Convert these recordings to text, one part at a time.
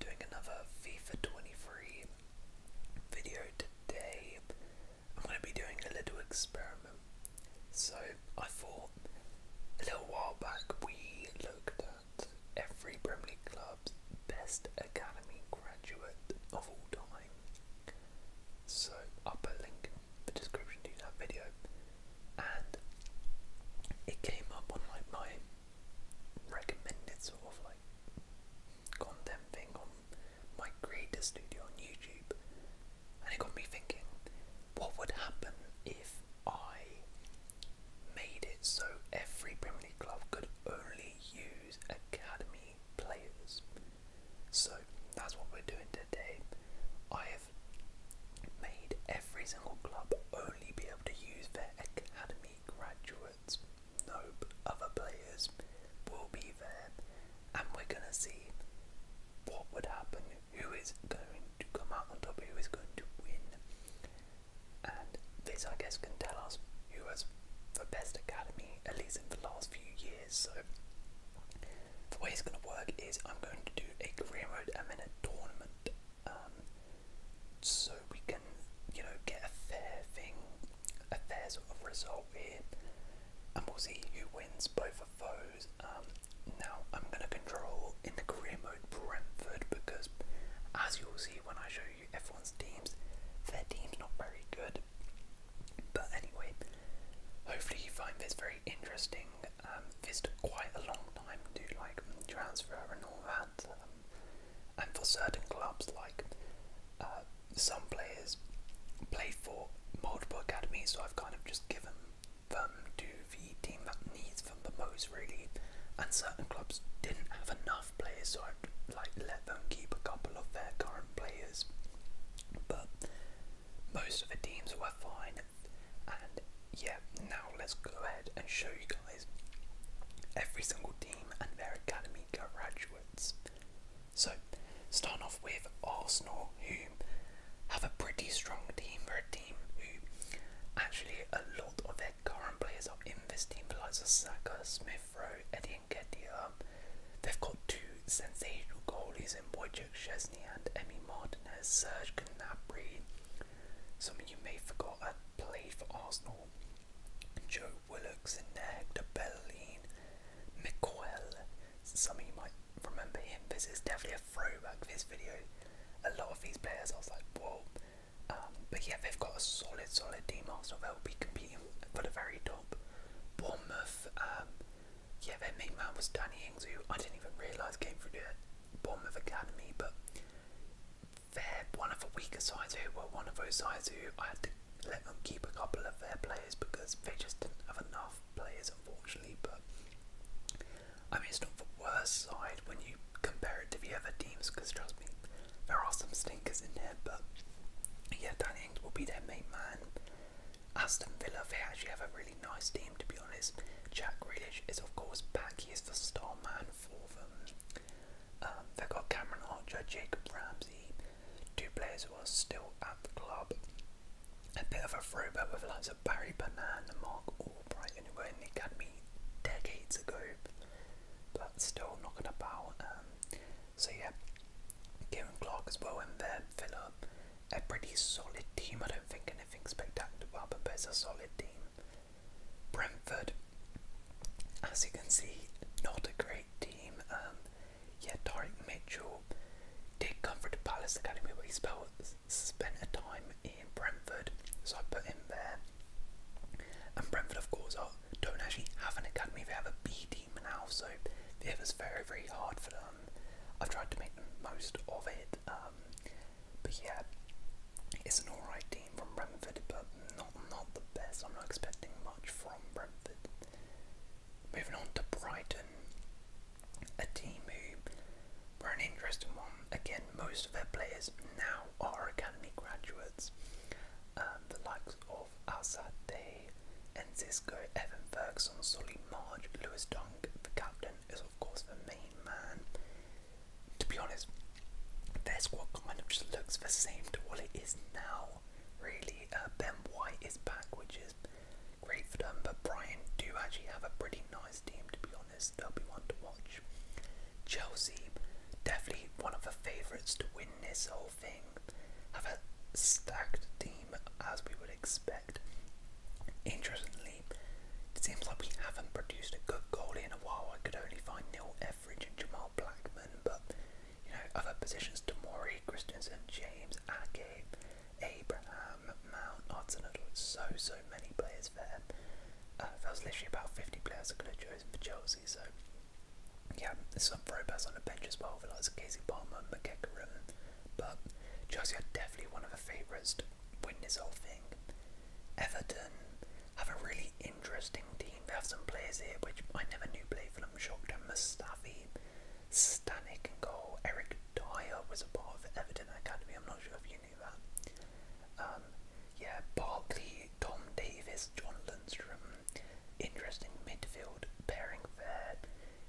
doing another FIFA 23 video today. I'm going to be doing a little experiment. So, I thought a little while back we looked at every Premier League club's best academy graduate of all time. So, I'll put a link in the description to that video, and it came up on my recommended sort of like content thing on my creator studio on YouTube, and it got me thinking what would happen if I made it so every Premier League club could only use academy players? So that's what we're doing today. I have made every single club only be able to use their academy graduates, nope. other players will be there, and we're going to see what would happen, who is going to come out on top, who is going to win. And this, I guess, can tell us who was the best academy, at least in the last few years. So, the way it's going to work is I'm going to do a career mode and then a tournament um, so we can, you know, get a fair thing, a fair sort of result here, and we'll see who wins both of those. Um, now I'm going to control in the career mode Brentford because, as you'll see when I show you everyone's teams, their team's not very good. But anyway, hopefully you find this very interesting. Um, this took quite a long time to like transfer and all that that. Um, and for certain clubs, like uh, some players play for multiple academies, so I've kind of just given them to the team that needs them the most, really. And certain clubs didn't have enough players, so I like let them keep a couple of their current players. But most of the teams were fine, and yeah, now let's go ahead and show you guys every single team and their academy graduates. So, starting off with Arsenal, who have a pretty strong team. For a team who actually a lot of their current players are in this team, the likes Smith Rowe, Eddie and Kedia. They've got two sensational goalies in Wojciech Szczesny and Emi Martinez, Serge Gnabry, some of you may have forgot had played for Arsenal. Joe Willocks and Neg Belleline. Miguel. Some of you might remember him. This is definitely a throwback for this video. A lot of these players I was like, whoa. Um, but yeah, they've got a solid, solid team. Arsenal they'll be competing for the very top. Bournemouth, um, yeah, their main man was Danny Ings, who I didn't even realise came through the Bournemouth Academy, but they're one of the weaker sides who were one of those sides who I had to let them keep a couple of their players because they just didn't have enough players, unfortunately. But I mean, it's not the worst side when you compare it to the other teams because trust me, there are some stinkers in there. But yeah, Danny Ings will be their main man. Aston Villa, they actually have a really nice team to be honest. Jack Grealish is, of course, back. He's the star man for them. Um, they've got Cameron Archer, Jacob Ramsey, two players who are still at the club. A bit of a throwback with lots of Barry Banan and Mark Albright, who were in the decades ago, but still knocking about. Um, so, yeah, Kieran Clark as well in there, Villa. A pretty solid team. I don't think anything spectacular, but it's a solid team. Brentford, as you can see, not a great team. Yet, um, yeah, Mitchell did come from the Palace Academy, but he spent a time in Brentford, so I put him there. And Brentford, of course, don't actually have an academy; they have a B team now, so it was very, very hard for them. I've tried to make the most of it. Um, but yeah, it's an alright team from Brentford, but not not the best. I'm not expecting much from Brentford. Moving on to Brighton, a team who were an interesting one. Again, most of their players now are academy graduates. Um, the likes of Asade, Enzisco, Evan Ferguson, Sully Marge, Lewis Dunk, the captain is of course the main man to be honest, their squad kind of just looks the same to what it is now. Really, uh, Ben White is back, which is great for them. But Brian do actually have a pretty nice team, to be honest. They'll be one to watch. Chelsea, definitely one of the favourites to win this whole thing. Have a stacked team as we would expect. Interestingly, it seems like we haven't produced a good goalie in a while. I could only find Neil Everidge and Jamal Blackman, but you know, other positions to Tamori, Christensen, James, Ake, Abraham, Mount, Arsenal, so so many players there. Uh, there was literally about 50 players that could have chosen for Chelsea, so yeah, there's some throwbacks on the bench as well, for like Casey Palmer, McKecker, but Chelsea are definitely one of the favourites to win this whole thing. Everton have a really interesting team. They have some players here which I never knew played for them. Shokta Mustafi, Stanek and goal. Eric Dyer was a part of Everton Academy. I'm not sure if you knew that. Um, yeah, Barkley, Tom Davis, John Lindstrom, Interesting midfield pairing there.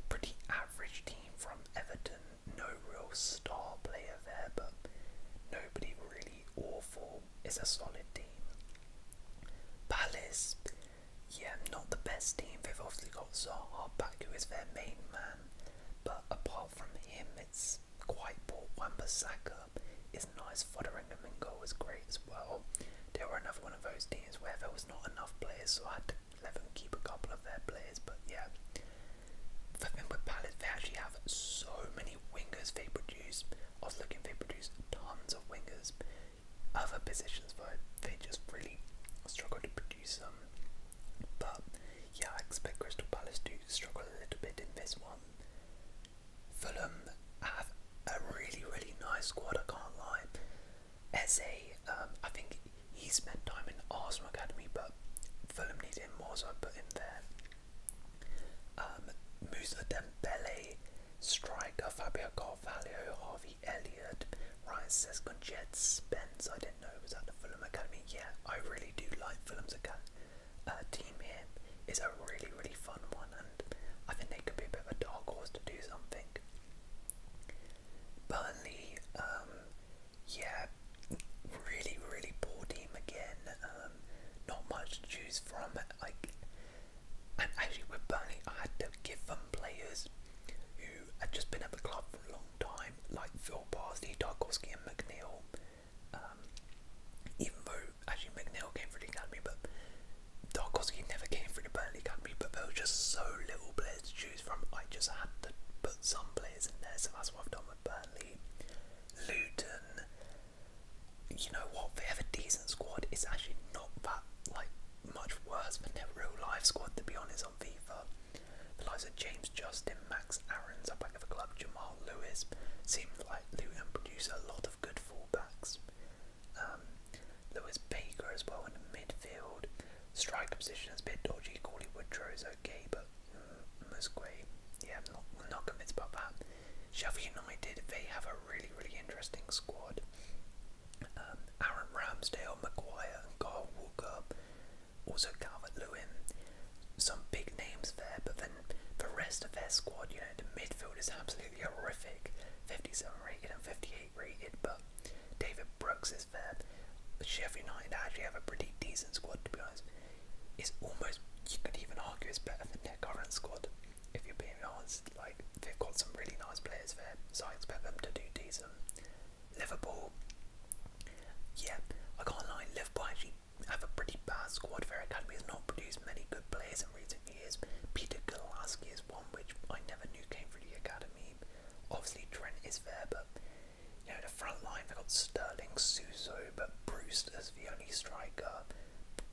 Pretty average team from Everton no real star player there, but nobody really awful. It's a solid team. Palace, yeah, not the best team. They've obviously got Zaha back, who is their main man, but apart from him, it's quite poor. Wamba-Saka is nice. Fotheringham and goal is great as well. They were another one of those teams where there was not enough players, so I had to let them keep a couple of their players. But yeah, for Fenwick Palace, they actually have so many wingers they produce. I was looking, they produce tons of wingers. Other positions, but they just really struggle to produce them. But yeah, I expect Crystal Palace to struggle a little bit in this one. Fulham have a really, really nice squad, I can't lie. As a, um, I think he spent time in the Arsenal Academy, but Fulham needed him more, so I put him there. Um, Musa Dembele, striker Fabio Carvalho, Harvey Elliott, Ryan Sesconjet, Spence. I didn't know it was at the Fulham Academy. Yeah, I really do like Fulham's academy uh, team here. It's a really, really fun one, and I think they could be a bit of a dark horse to do something. Burnley, um, yeah, really, really poor team again. Um, not much to choose from. Like, and actually with Burnley, I had to give them players who had just been at the club for a long time, like Phil Parsley, Tarkovsky, and McNeil. Um, even though actually McNeil came through the academy, but Tarkovsky never came through the Burnley academy. But there were just so little players to choose from. I just had to put some players in there, so that's what I've done. Burnley, Luton. You know what? They have a decent squad. It's actually not that like much worse than their real life squad, to be honest. On FIFA, the likes of James Justin, Max Aaron's up back of the club, Jamal Lewis. Seems like Luton produce a lot of good fullbacks. Um, Lewis Baker as well in the midfield. Striker position is a bit dodgy. Callie Woodrow is okay, but Musgrave. Yeah, not, not convinced about that. Sheffield United, they have a really, really interesting squad. Um, Aaron Ramsdale, Maguire, and also Calvert Lewin. Some big names there, but then the rest of their squad, you know, the midfield is absolutely horrific. 57 rated and 58 rated, but David Brooks is there. Sheffield United actually have a pretty decent squad to be honest. It's almost you could even argue it's better than their current squad. If you're being honest, like they've got some really nice players there, so I expect them to do decent. Liverpool, yeah, I can't lie. Liverpool actually have a pretty bad squad. Their academy has not produced many good players in recent years. Peter Golaski is one which I never knew came from the academy. Obviously Trent is there, but you know, the front line, they got Sterling, Suso, but Bruce as the only striker.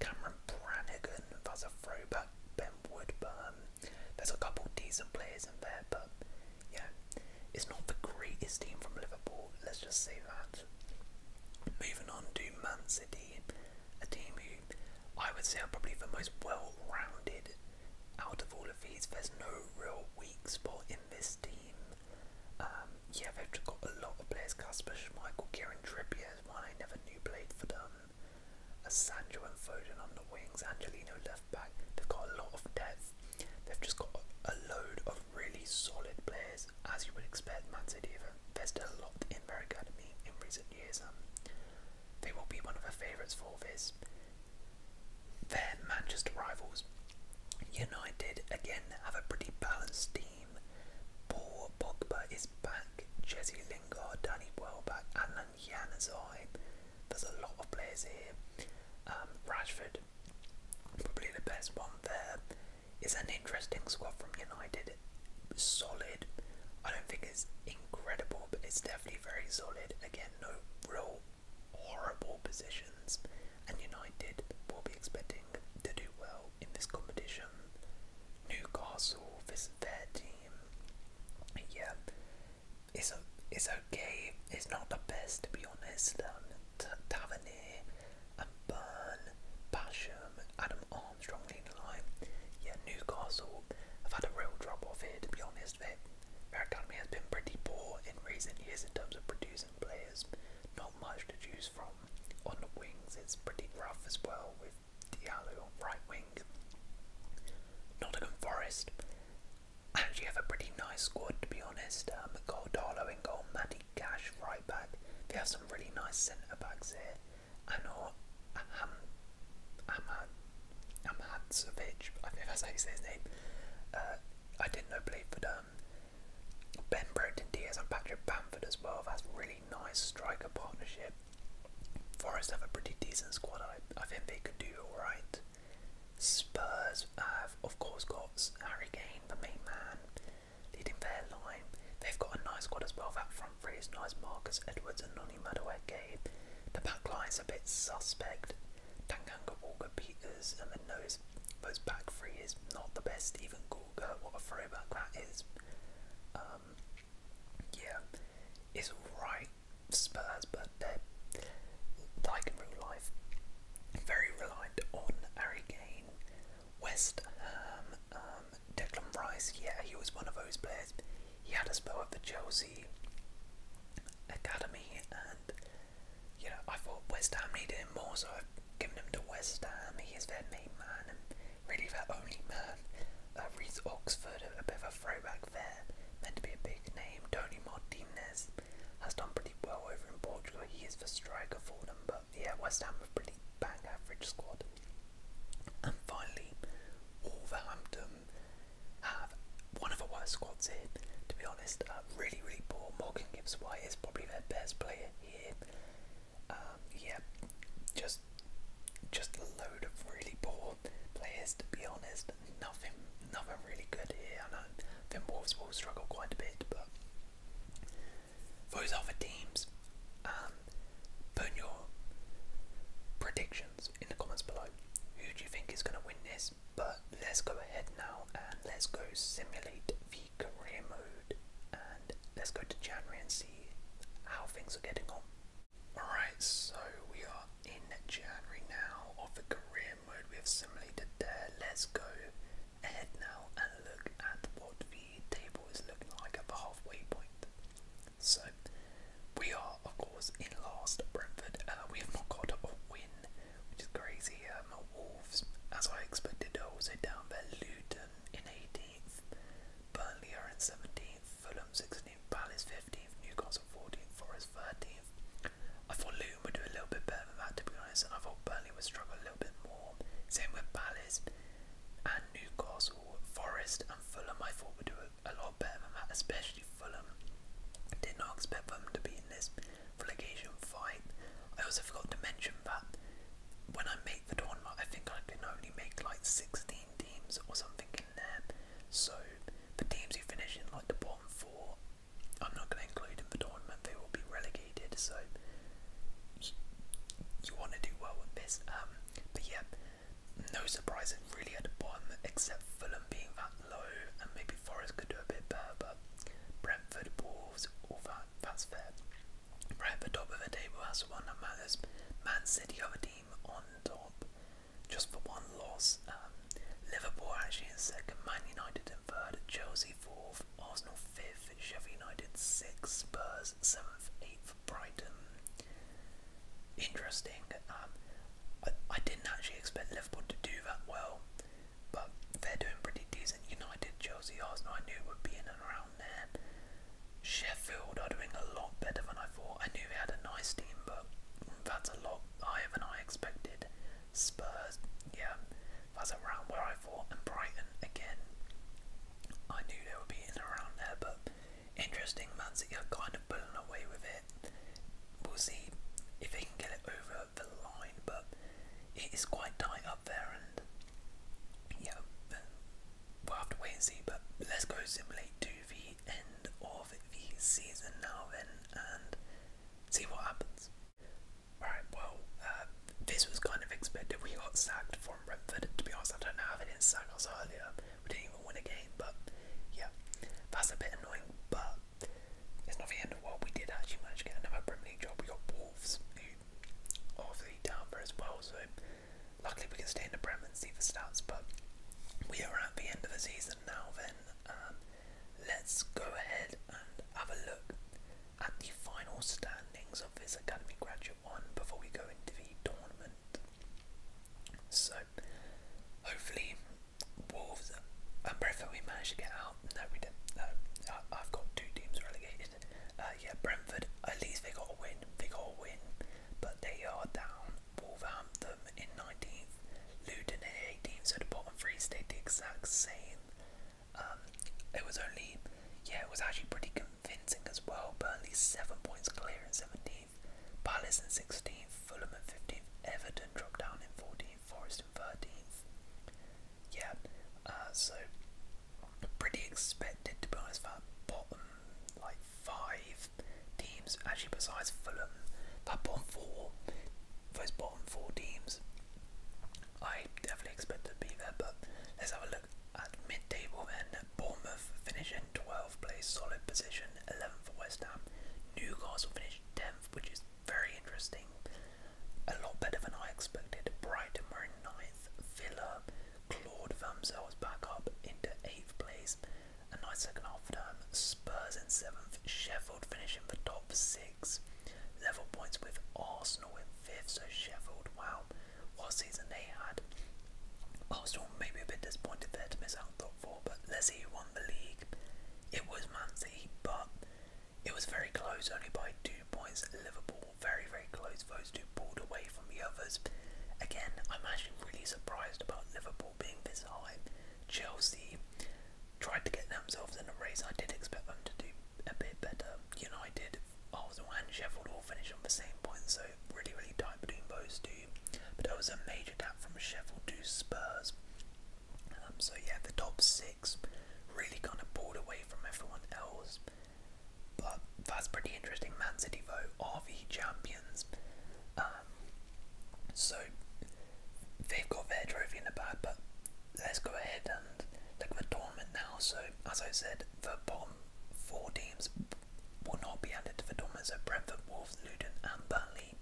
Cameron Brannigan, that's a Ben Woodburn. There's a couple decent players in there, but yeah, it's not the greatest team from Liverpool, let's just say that. Moving on to Man City, a team who I would say are probably the most well rounded out of all of these. There's no real weak spot in in this team. Um, yeah, they've just got a lot of players. Casper Schmeichel, Kieran Trippier one I never knew played for them. Sancho and Foden on the wings, Angelino left back. They've got a lot of depth. They've just got a, load of really solid players, as you would expect. Man City have invested a lot in their in recent years. Um, they will be one of their favourites for this their Manchester rivals, United, again have a pretty balanced team. Poor Pogba is back, Jesse Lingard, Danny Welbeck, Alan Januzaj. There's a lot of players here. Um, Rashford, probably the best one there. It's an interesting squad from United. Solid. I don't think it's incredible, but it's definitely very solid. Again, no real horrible positions, and United will be expecting to do well in this competition. Newcastle, is a fair team. Yeah, it's a, it's okay. It's not the best to be honest. Um, and Burn, Basham, Adam Armstrong leading line. Yeah, Newcastle have had a real drop off here. To be honest, they our economy has been pretty poor in recent years in terms of producing players. Not much to choose from. On the wings, it's pretty rough as well with Diallo on right wing. Nottingham Forest actually have a pretty nice squad to be honest. Um, uh, goal Darlow in goal, Matty Cash right back. They have some really nice centre backs here. I know Ham, Hamad I'm Amhadzovic, I think that's how you say his name. Uh, I didn't know played for them. Ben Brenton Diaz and Patrick Bamford as well. That's really nice striker partnership. Forest have a pretty decent squad. I, I think they could do alright. Spurs have, of course, got Harry Kane, the main man, leading their line. They've got a nice squad as well. That front three is nice. Marcus Edwards and Noni Madueke. The back line's a bit suspect. Tanganga Walker Peters, and then those, those back three is not the best. Even Gorga, what a throwback that is. Um, yeah, it's alright, Spurs, but they're like in real life, very reliant on Harry Kane, West Ham, um, Declan Rice. Yeah, he was one of those players. He had a spell at the Chelsea. Chelsea academy, and you know I thought West Ham needed him more, so I've given him to West Ham. He is their main man and really their only man. Uh, Reese Oxford, a, a bit of a throwback there, meant to be a big name. Tony Martinez has done pretty well over in Portugal. He is the striker for them, but yeah, West Ham have pretty bang average squad. And finally, Wolverhampton have one of the worst squads here, to be honest. Uh, really, really poor. Morgan Gibbs White is probably their best player here. Um, yeah, just just a load of really poor players, to be honest. Nothing, nothing really good here. I know Finn Wolves will struggle quite a bit, but those are the teams. Um, put your predictions in the comments below. Who do you think is going to win this? but let's go ahead now and let's go simulate the career mode and let's go to January and see how things are getting on. Alright, so we are in January now of the career mode we have simulated there. Let's go ahead now and look at what the table is looking like at the halfway point. So we are, of course, in last. Brentford, uh, we have not got a win, which is crazy. my um, Wolves, as I expected, are also down there. Luton in 18th, Burnley are in 17th, Fulham 16th, Palace 15th, Newcastle 14th, Forest 13th. I thought Luton would do a little bit better than that, to be honest, and I thought Burnley would struggle a little bit more. Same with Palace and Newcastle, Forest and Fulham. I thought would do a lot better than that, especially Fulham. Did not expect them to be in this relegation fight. I also forgot to mention that when I make the tournament, I think I can only make like 16 teams or something in there. So the teams who finish in like the bottom four, I'm not going to include in the tournament. They will be relegated. So you, want to do well with this. Um, but yeah, no surprises really at the bottom except Fulham being that low and maybe Forest could do a bit better Brentford, Wolves, all that, that's fair. Right at the top of the table, has the one that matters. Man City have a team on top, just for one loss. Um, Liverpool actually in second, Man United in third, Chelsea fourth, Arsenal fifth, Sheffield United sixth, Spurs seventh, eighth, Brighton interesting. Um, I, I didn't actually expect Liverpool to do that well, but they're doing pretty decent. United, Chelsea, Arsenal, I knew would be in and around there. Sheffield are doing a lot better than I thought. I knew they had a nice team, but that's a lot higher than I expected. Spurs, yeah, that's around where I thought. And Brighton, again, I knew they would be in and around there, but interesting Man you are kind of pulling away with it. We'll see if they can get it over the line, but it is quite tight up there, and yeah, we'll have to wait and see. But let's go simulate to the end of the season now, then, and see what happens. Alright, well, uh, this was kind of expected. We got sacked from Brentford. To be honest, I don't know how they didn't sack us earlier. We didn't even win a game, but yeah, that's a bit annoying. But it's not the end of what We did actually manage to get another Premier League job. We got Wolves, who the obviously down as well. So luckily we can stay in the Prem and see the stats. But we are at the end of the season now. Then let's go ahead and have a look at the final standings of this academy graduate one before we go into the tournament. So, hopefully, Wolves and Brentford we managed to get out. No, we didn't. I've got two teams relegated. Uh, yeah, Brentford. At least they got a win. They got a win, but they are down. Wolverhampton in 19th, Luton in 18th. So the bottom three stayed the exact same. Um, it was only, yeah, it was actually pretty convincing as well. Burnley seven points clear in 17th. 13th, Palace in 16th, Fulham in 15th, Everton dropped down in 14th, Forest in 13th. Yeah, uh, so pretty expected to be honest that bottom like five teams, actually besides Fulham, that bottom four, those bottom four teams, I definitely expect to be there, but let's have a look at mid-table then. Bournemouth finishing 12th place, solid position position, 11th for West Ham. Newcastle finished 10th, which is very interesting. A lot better than I expected. Brighton were in 9th. Villa Claude themselves back up into 8th place. A nice second half time. Spurs in 7th. Sheffield finishing the top 6. Level points with Arsenal in 5th. So Sheffield, wow, what season they had. Arsenal may be a bit disappointed there to miss out out top four, but let's see who won the league. It was Man City, but it was very close, only by two points. Liverpool, very, very close. Those two pulled away from the others. Again, I'm actually really surprised about Liverpool being this high. Chelsea tried to get themselves in a race. I did expect them to do a bit better. United, Arsenal, and Sheffield all finished on the same point, so really, really tight between those two but it was a major gap from Sheffield to Spurs. Um, so yeah, the top six really kind of pulled away from everyone else. But that's pretty interesting. Man City though are the champions, um, so they've got their trophy in the bag. But let's go ahead and look at the now. So as I said, the bottom four teams will not be added to the Dormers Wolves, Luton, and Burnley.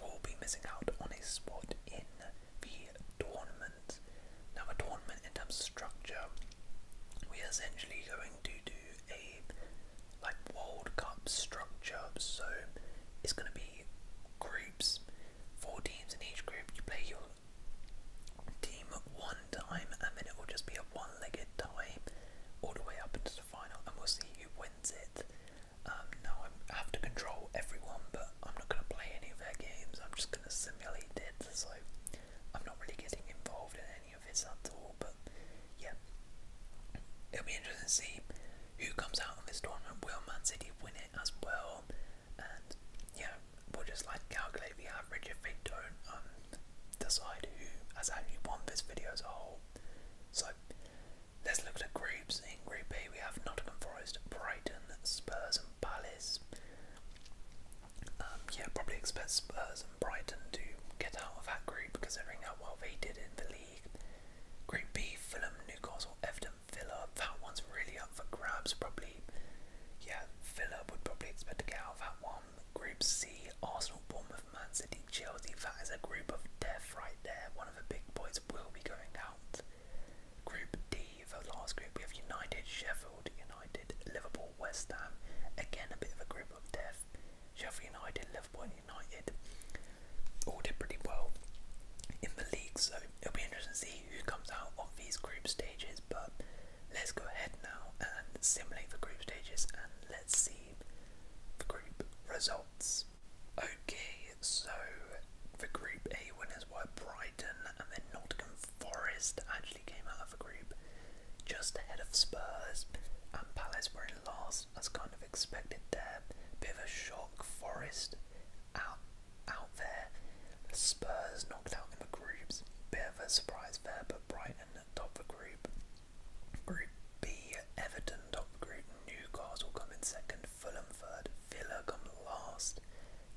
Will be missing out on a spot in the tournament. Now, the tournament in terms of structure, we are essentially going to do a like World Cup structure. So it's going to be groups, four teams in each group. You play your team one time, and then it will just be a one-legged tie all the way up final, and we'll see who wins it. Um, now I'm, have to control everyone, but I'm not going to play any of their games. I'm just going to simulate it. So I'm not really getting involved in any of this at all. But yeah, it'll be interesting to see who comes out of this tournament. Will Man City win it as well? And yeah, we'll just like calculate the average if they don't um, decide who has actually won this video as a whole. So let's look at the groups. In Group B, we have Nottingham Forest, Brighton, Spurs, and Palace. Um, yeah, probably expect Spurs and Brighton to get out of that group, because they considering how well they did in the league. Group B, Fulham, Newcastle, Everton, Villa. That one's really up for grabs, probably. Yeah, Villa would probably expect to get out of that one. Group C, Arsenal, Bournemouth, Manchester, Man Chelsea, that is a group of death right there. One of the big boys will be going out. Group D, the last group, we have United, Sheffield United, Liverpool, West Ham. Again, a bit of a group of death. Sheffield United, Liverpool United all did pretty well in the league, so it'll be interesting to see who comes out of these group stages. But let's go ahead now and simulate the group stages and let's see the group results. Okay, so the Group A winners were Brighton and then Nottingham Forest actually came out of the group just ahead of Spurs and Palace were in last as kind of expected there. Bit of a shock, Forest out out there. Spurs knocked out in the groups. Bit of a surprise there, but Brighton top the group. Group B, Everton top group, Newcastle come in second, Fulham third, Villa come last.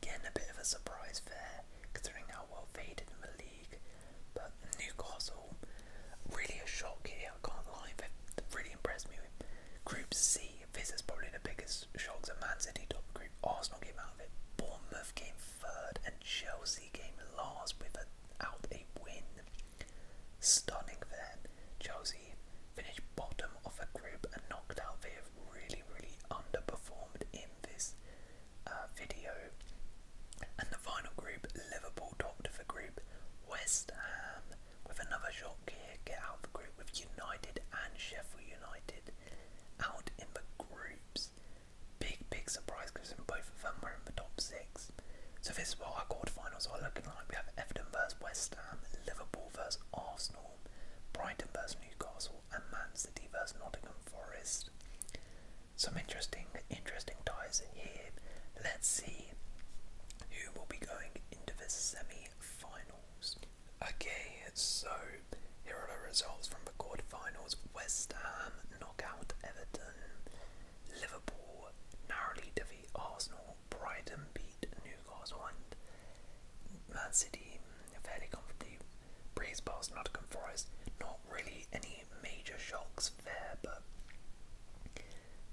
Again, a bit of a surprise there, considering how well they in the league. But Newcastle, really a shock here, I can't lie, they really impressed me. Group C, this is probably the biggest shock, the Man City top group, Arsenal came out of it, Bournemouth came third and Chelsea game last without a win. Stunning for them. Chelsea finished bottom of a group and knocked out. They have really, really underperformed in this uh, video. And the final group, Liverpool topped the group. West Ham with another shot here get out of the group with United and Sheffield United out in the groups. Big, big surprise because both of them were in the top six. So this is what our quarterfinals are looking like. We have Everton versus West Ham, Liverpool versus Arsenal, Brighton versus Newcastle, and Man City versus Nottingham Forest. Some interesting, interesting ties here. Let's see who will be going into the semi-finals. Okay, so here are the results from the quarterfinals. West Ham knock Everton. Liverpool narrowly defeat Arsenal. Brighton beat Newcastle and Man City fairly comfortably breeze past Nottingham Forest. Not really any major shocks there, but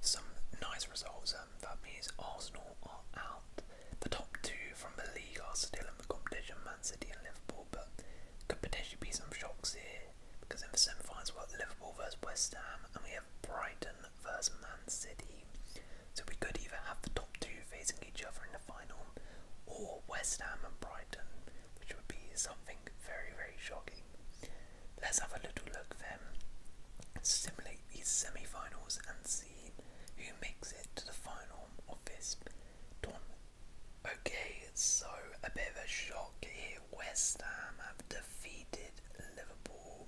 some nice results. Um, that means Arsenal are out. The top two from the league are still in the competition, Man City and Liverpool, but could potentially be some shocks here because in the semifinals we've got Liverpool versus West Ham and we have Brighton versus Man City. So we could either have the top two facing each other in the final, or West Ham and Brighton, which would be something very very shocking. Let's have a little look then, simulate these semifinals and see who makes it to the final of this tournament. Okay, so a bit of a shock here. West Ham have defeated Liverpool.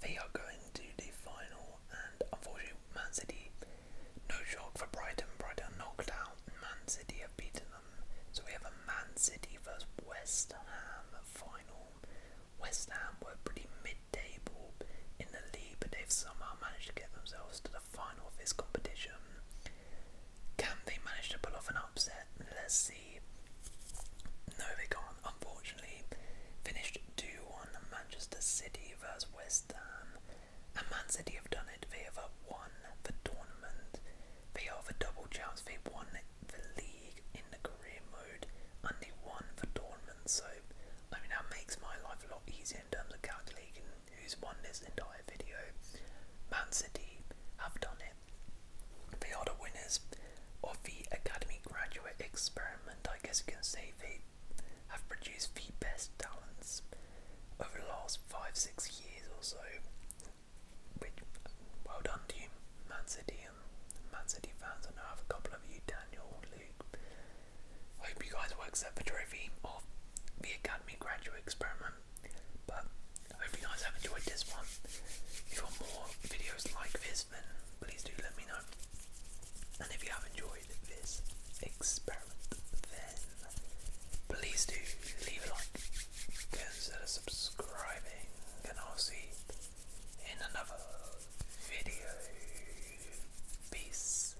They are going to the final, and unfortunately, Man City, no shock for Brighton. Brighton knocked out. Man City have beaten them. So we have a Man City versus West Ham final. West Ham were pretty mid table in the league, but they've somehow managed to get themselves to the final of competition. Can they manage to pull off an upset? Let's see. No, they can't, unfortunately. Finished 2 1 Manchester City versus West Ham. And Man City have done it. They have won the tournament. They are the double champs. They won the league in the career mode and won the tournament. So, I mean, that makes my life a lot easier in terms of calculating who's won this entire video. Man City have done it. They are the winners of the Academy Graduate Experiment. I guess you can say they have produced the best talents over the last five, six years or so. Which, well done to you, Man City and Man City fans. I know I have a couple of you, Daniel, Luke. I hope you guys work accept the trophy of the Academy Graduate Experiment. But I hope you guys have enjoyed this one. If you want more videos like this, then please do let me know. And if you have enjoyed this experiment, then please do leave a like, consider subscribing, and I'll see in another video. Peace.